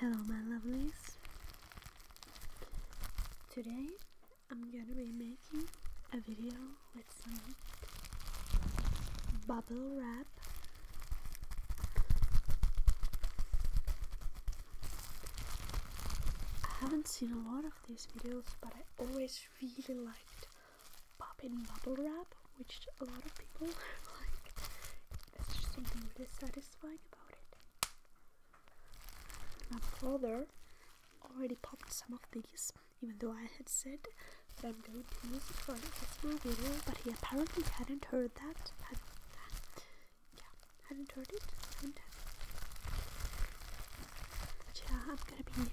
Hello my lovelies. Today I'm gonna be making a video with some bubble wrap I haven't seen a lot of these videos, but I always really liked popping bubble wrap, which a lot of people like. There's just something really satisfying about it. My brother already popped some of these, even though I had said that I'm going to use it for an ASMR video, but he apparently hadn't heard that. yeah, had enjoyed it. And yeah, I'm gonna be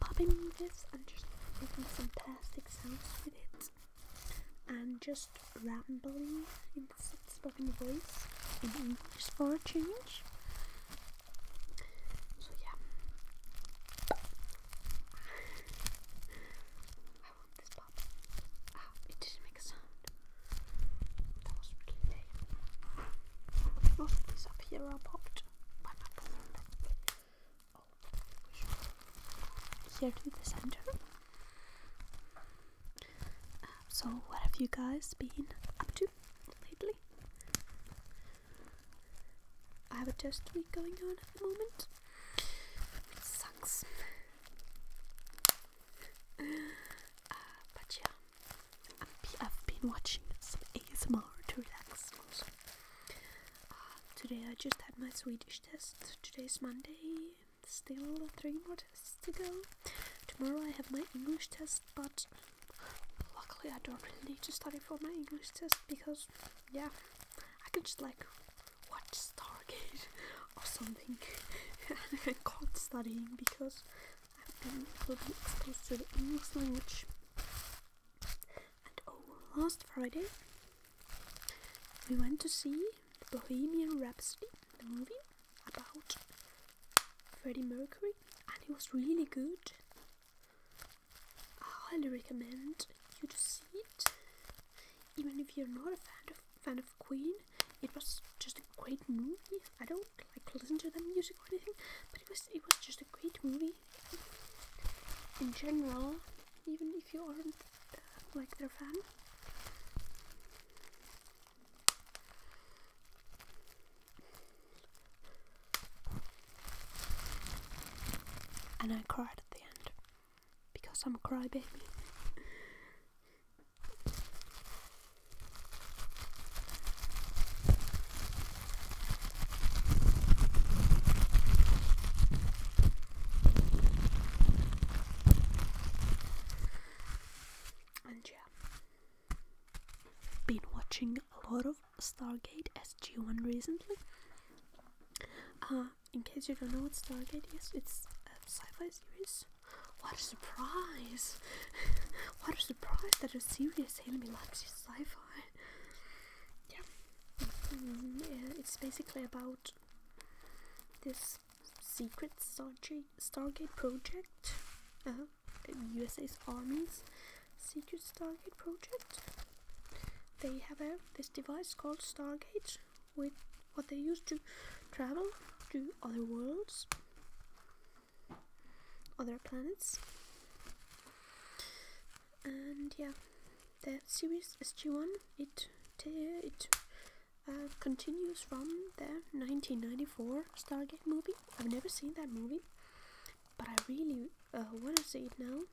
popping this and just making some plastic sounds with it, and just rambling in this spoken voice in English for a change. So yeah. I want this pop. Ah, it didn't make a sound. That was really lame. Most up here are popped by my boyfriend. here to the center. so, what have you guys been up to lately? I have a test week going on at the moment sucks. Uh, but yeah, i have been watching some ASMR to relax uh, today I just had my Swedish test. Today's Monday. Still three more tests to go. Tomorrow I have my English test, but luckily I don't really need to study for my English test because yeah, I can just like watch Stargate or something. I can't studying because I've been fully exposed to the English language. And oh, last Friday we went to see Bohemian Rhapsody, the movie about Freddie Mercury, and it was really good. I highly recommend you to see it. Even if you're not a fan of fan of Queen, it was just a great movie. I don't like listen to their music or anything, but it was it was just a great movie. In general, even if you aren't uh, like their fan. And I cried at the end because I'm a crybaby. and yeah, been watching a lot of Stargate SG1 recently. Uh, in case you don't know what Stargate is, it's a sci-fi series. What a surprise! what a surprise that a serious enemy likes sci-fi. Mm-hmm. Yeah. it's basically about this secret Stargate, Stargate project. Uh, USA's armies Secret Stargate project. They have this device called Stargate, with what they use to travel to other worlds, other planets. And yeah, the series SG1 it it uh, continues from the 1994 Stargate movie. I've never seen that movie but I really uh, want to see it now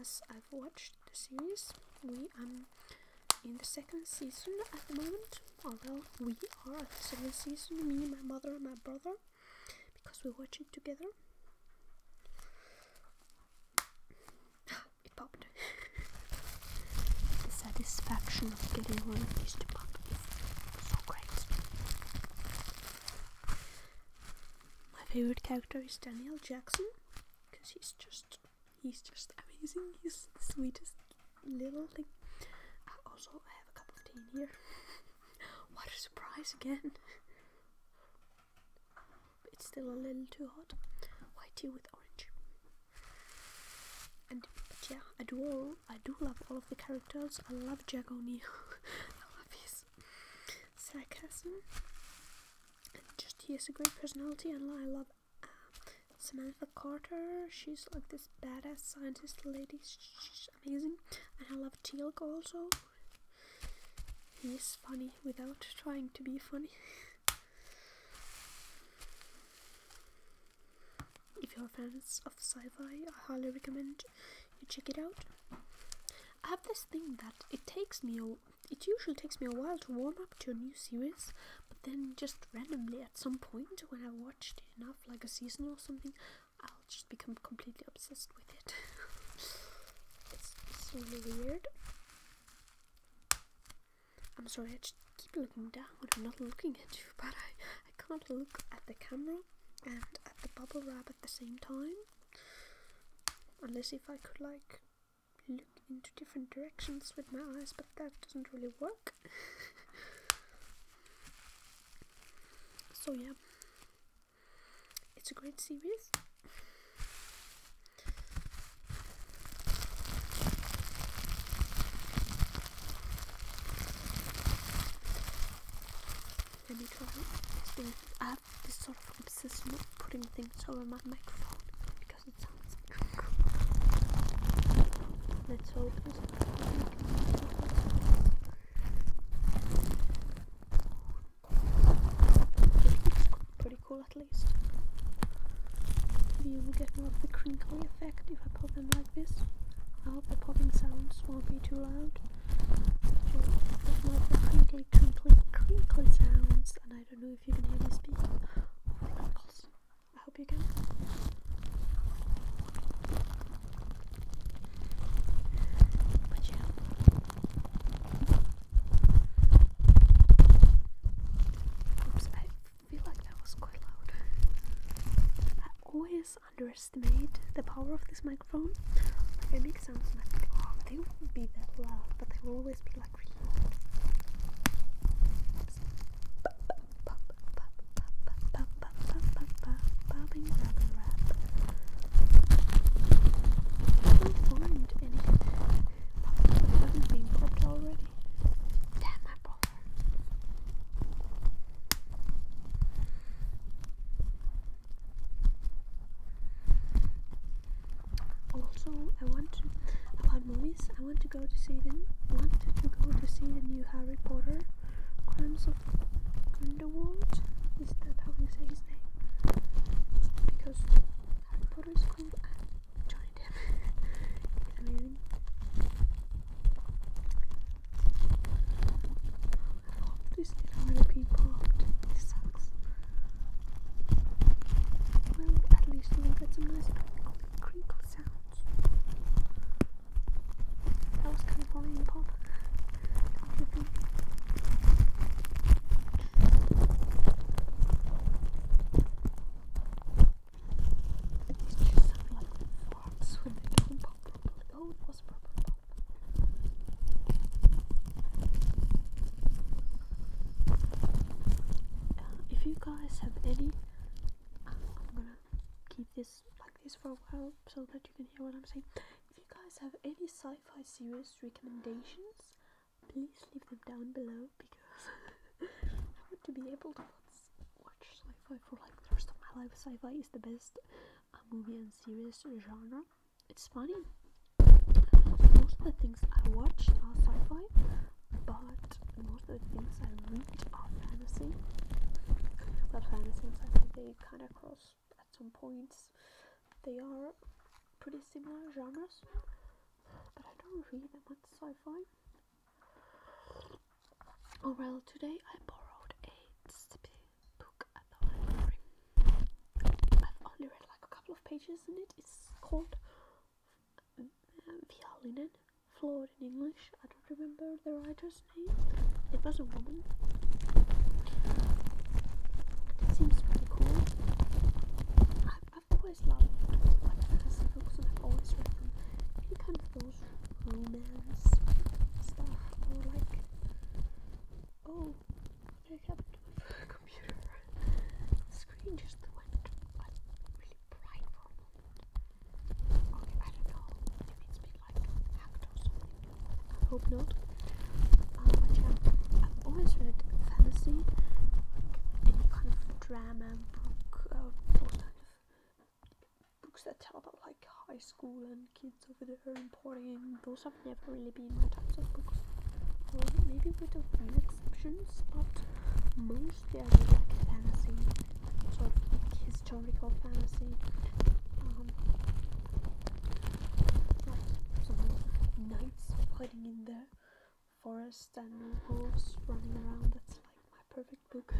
as I've watched the series. We um in the second season at the moment, although we are at the second season, me, my mother, and my brother, because we watch it together. it popped. the satisfaction of getting one of these to pop is so great my favorite character is Daniel Jackson because he's just he's just amazing. He's the sweetest little thing. I ah, also I have a cup of tea in here. what a surprise again! it's still a little too hot. White tea with orange. And yeah, I do all I do love all of the characters. I love Jack O'Neill. I love his is sarcasm and just he has a great personality and I love uh, Samantha Carter she's like this badass scientist lady she's amazing and I love Teal'c also he's funny without trying to be funny if you're fans sci-fi. I highly recommend you check it out. I have this thing that it takes me a, it usually takes me a while to warm up to a new series, but then just randomly at some point when I watched it enough, like a season or something, I'll just become completely obsessed with it. it's, so weird. I'm sorry, I just keep looking down. I'm not looking at you, but I I can't look at the camera and at the bubble wrap at the same time. Unless if I could like look into different directions with my eyes, but that doesn't really work. so yeah, it's a great series. Let me try this I have this sort of obsession with putting things over my microphone because it sounds Let's hope It's pretty cool at least. Maybe you will get more of the crinkly effect if I pull them like this. I hope the popping sounds won't be too loud. Just more the crinkly, sounds. I don't know if you can hear me I hope you can. But yeah. Oops, I feel like that was quite loud. I always underestimate the power of this microphone. Like I make sounds they won't be that loud, but they will always be like really loud. Bobbing, grabbing, wrap. I can't find anything. I haven't been popped Damn, I bought also, I want to about movies. I want to go to see the want to go to see the new Harry Potter, Crimes of Grindelwald. Is that how you say his name? Because Harry Potter is Johnny Depp. I mean, this didn't really be blocked. This sucks. Well, at least we got some nice crinkle, sounds. That was kind of volume pop if you guys have any, um, I'm gonna keep this like this for a while so that you can hear what I'm saying. If you guys have any sci-fi series recommendations, please leave them down below because I want to be able to watch watch like for like the rest of my life. Sci-fi is the best uh, movie and series genre. It's funny. Most of the things I watch are sci-fi, but most of the things I read are fantasy. But fantasy and sci-fi they kind of cross at some points. They are pretty similar genres, but I don't read that much sci-fi. Oh, well, today I borrowed a book at the library. I've only read like a couple of pages in it. It's called uh, Violinen, flawed in English. I don't remember the writer's name. It was a woman. seems pretty cool. I've, always loved books and I've always read them in kind of those romance stuff or like oh what happened to my computer the screen just went like really bright for a moment okay I don't know if it's been like hacked or something I hope not uh, but yeah I've always read fantasy like any kind of drama book uh, or kind of books that tell about like high school and kids over there and partying. Those have never really been my types of books. Well, maybe with a few exceptions, but most of them are like fantasy. Sort like historical fantasy. Um, knights fighting in the forest and wolves running around. That's like my perfect book.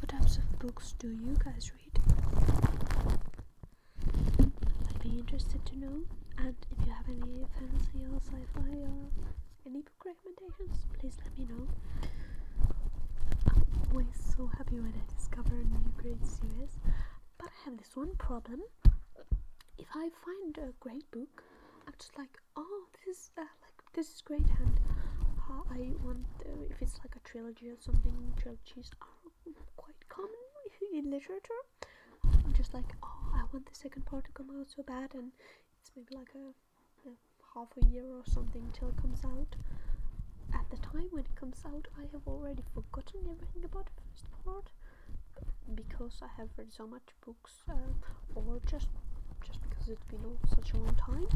What types of books do you guys read? I'd be interested to know. And if you have any fantasy or sci fi or any book recommendations, please let me know. I'm always so happy when I discover a new great series. But I have this one problem. If I find a great book, I'm just like, oh, this is uh, like this is great And uh, I want if it's like a trilogy or something. Trilogies are quite common in literature. I'm just like, oh, I want the second part to come out so bad, and it's maybe like a, half a year or something till it comes out. At the time when it comes out, I have already forgotten everything about the first part because I have read so much books uh, or just just because it's been such a long time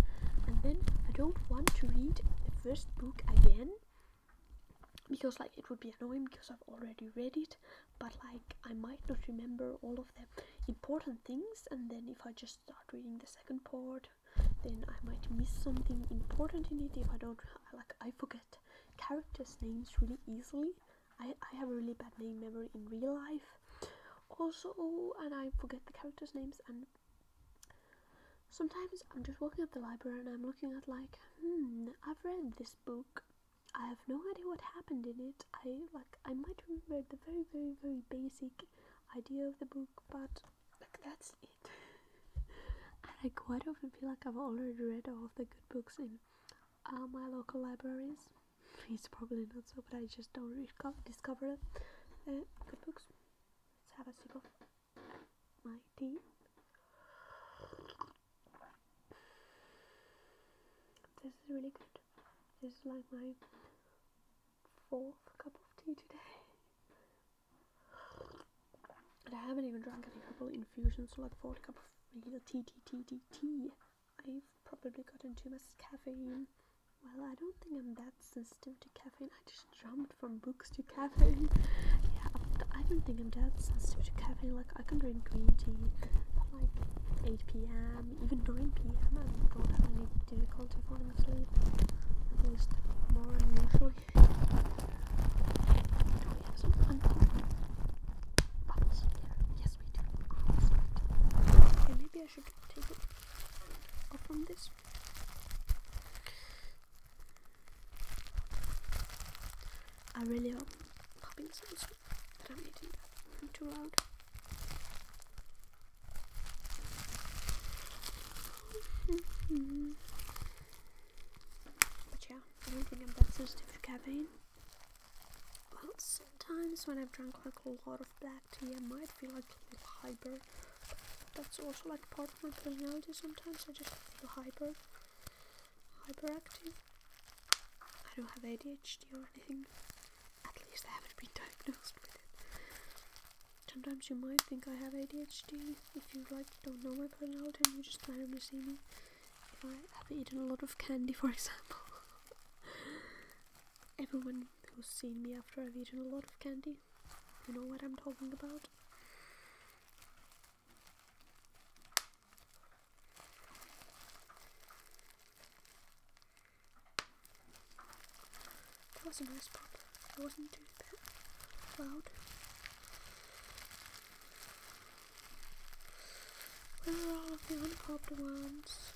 and then I don't want to read the first book again because like it would be annoying because I've already read it but like I might not remember all of the important things and then if I just start reading the second part then I might miss something important in it if I don't like I forget characters names really easily I, I have a really bad name memory in real life also and I forget the characters names and sometimes I'm just walking at the library and I'm looking at like hmm I've read this book I have no idea what happened in it I like I might remember the very very very basic idea of the book but like that's it and I quite often feel like I've already read all of the good books in all uh, my local libraries He's probably not so, but I just don't discover it. Uh, good books. Let's have a sip of my tea. This is really good. This is like my fourth cup of tea today. And I haven't even drunk any herbal infusions, so like fourth cup of tea, tea, tea, tea, tea. I've probably gotten too much caffeine. Well, I don't think I'm that sensitive to caffeine. I just jumped from books to caffeine. Yeah, I don't think I'm that sensitive to caffeine. Like, I can drink green tea at like 8 pm, even 9 pm. I don't have any difficulty falling asleep. At least more usually. Oh, Yes, we do. Okay, maybe I should take it up on this. I really hope popping sounds that I'm eating that too loud. but yeah, I don't think I'm that sensitive to caffeine. Well, sometimes when I've drunk like a lot of black tea, I might feel like a little hyper. That's also like part of my personality. Sometimes I just feel hyper, hyperactive. I don't have ADHD or anything. At least I haven't been diagnosed with it. Sometimes you might think I have ADHD if you like don't know my personality you just randomly see me if I have eaten a lot of candy, for example. Everyone who's seen me after I've eaten a lot of candy, you know what I'm talking about. That was a nice pop. I wasn't too loud. Where are all of the uncobbed ones?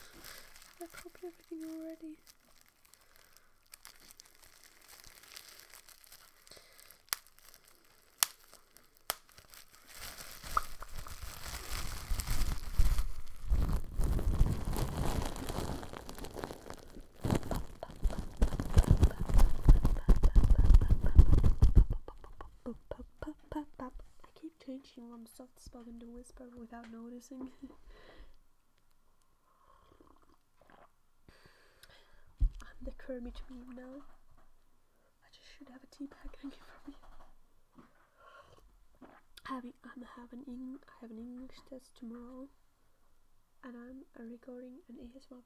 Have I cobbed everything already? pop, pop. I keep changing from soft spoken to whisper without noticing. I'm the curmudgeon now. I just should have a tea bag hanging from me. Having I'm having I have an English test tomorrow, and I'm recording an ASMR video.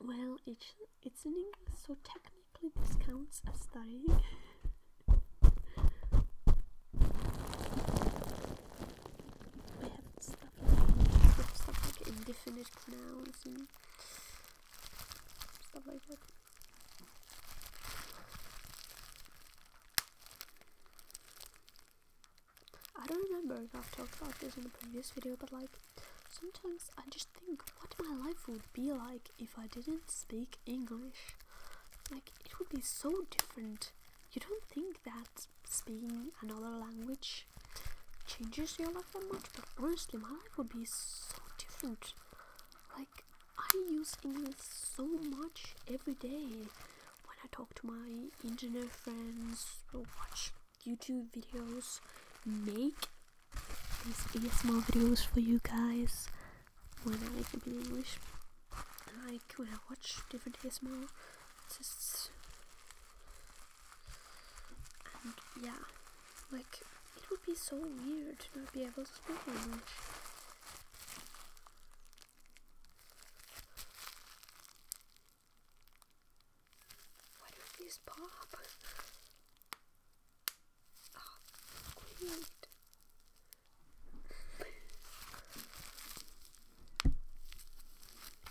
Well, it's, it's in English, so technically this counts as studying. I have stuff like, stuff like indefinite pronouns and stuff like that. I don't remember if I've talked about this in the previous video, but like Sometimes I just think what my life would be like if I didn't speak English. Like, it would be so different. You don't think that speaking another language changes your life that much, but honestly, my life would be so different. Like, I use English so much every day when I talk to my Indian friends or watch YouTube videos, make these ASMR videos for you guys when I make them in English. I like when I watch different ASMR Just And yeah, like it would be so weird to not be able to speak English. What if these pop? Oh, ah, great.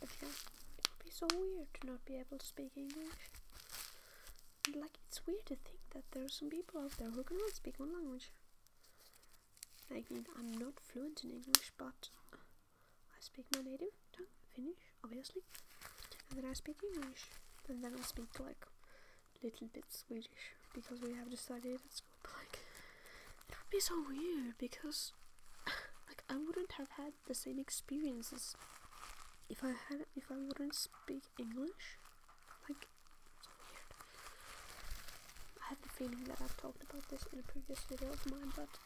okay, it would be so weird to not be able to speak English. like, it's weird to think that there are some people out there who can cannot speak one language. I mean, I'm not fluent in English, but I speak my native tongue, Finnish, obviously, and then I speak English, and then I speak like a little bit Swedish because we have decided at school. But like, it would be so weird because like I wouldn't have had the same experiences if I had if I wouldn't speak English. Like, so weird. I have the feeling that I've talked about this in a previous video of mine, but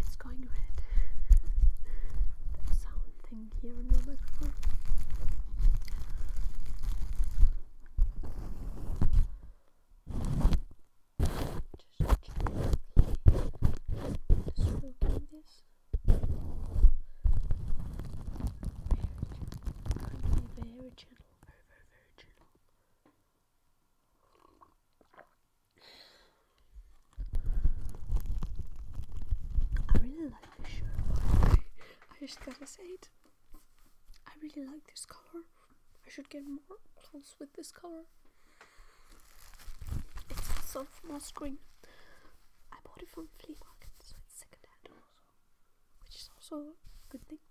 It's going red. that sound thing here on the microphone. Just gently this. Very I really like this shirt. I just gotta say it. I really like this color. I should get more clothes with this color. It's also from Moss Green. I bought it from flea market, so it's secondhand also, which is also a good thing.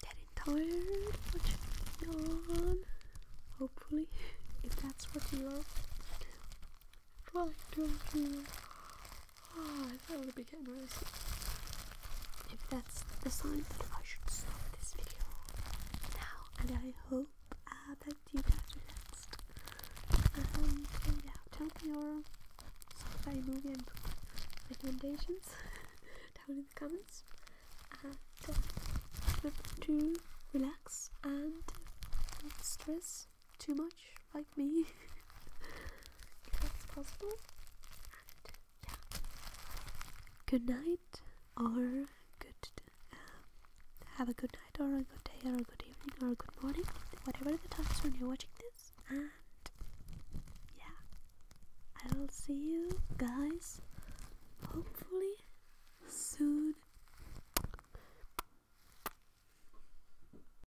Getting tired watching on. Hopefully, if that's what you are trying to do. Oh, that would be getting really sick. If that's the sign that I should stop this video now, and I hope uh, that you guys relaxed. Um, so tell me your sci movie recommendations down in the comments, and uh, to relax and uh, stress too much like me, if that's possible. yeah, good night or good. Um, have a good night or a good day or a good evening or a good morning, whatever the time is when you're watching this. And yeah, I will see you guys hopefully soon.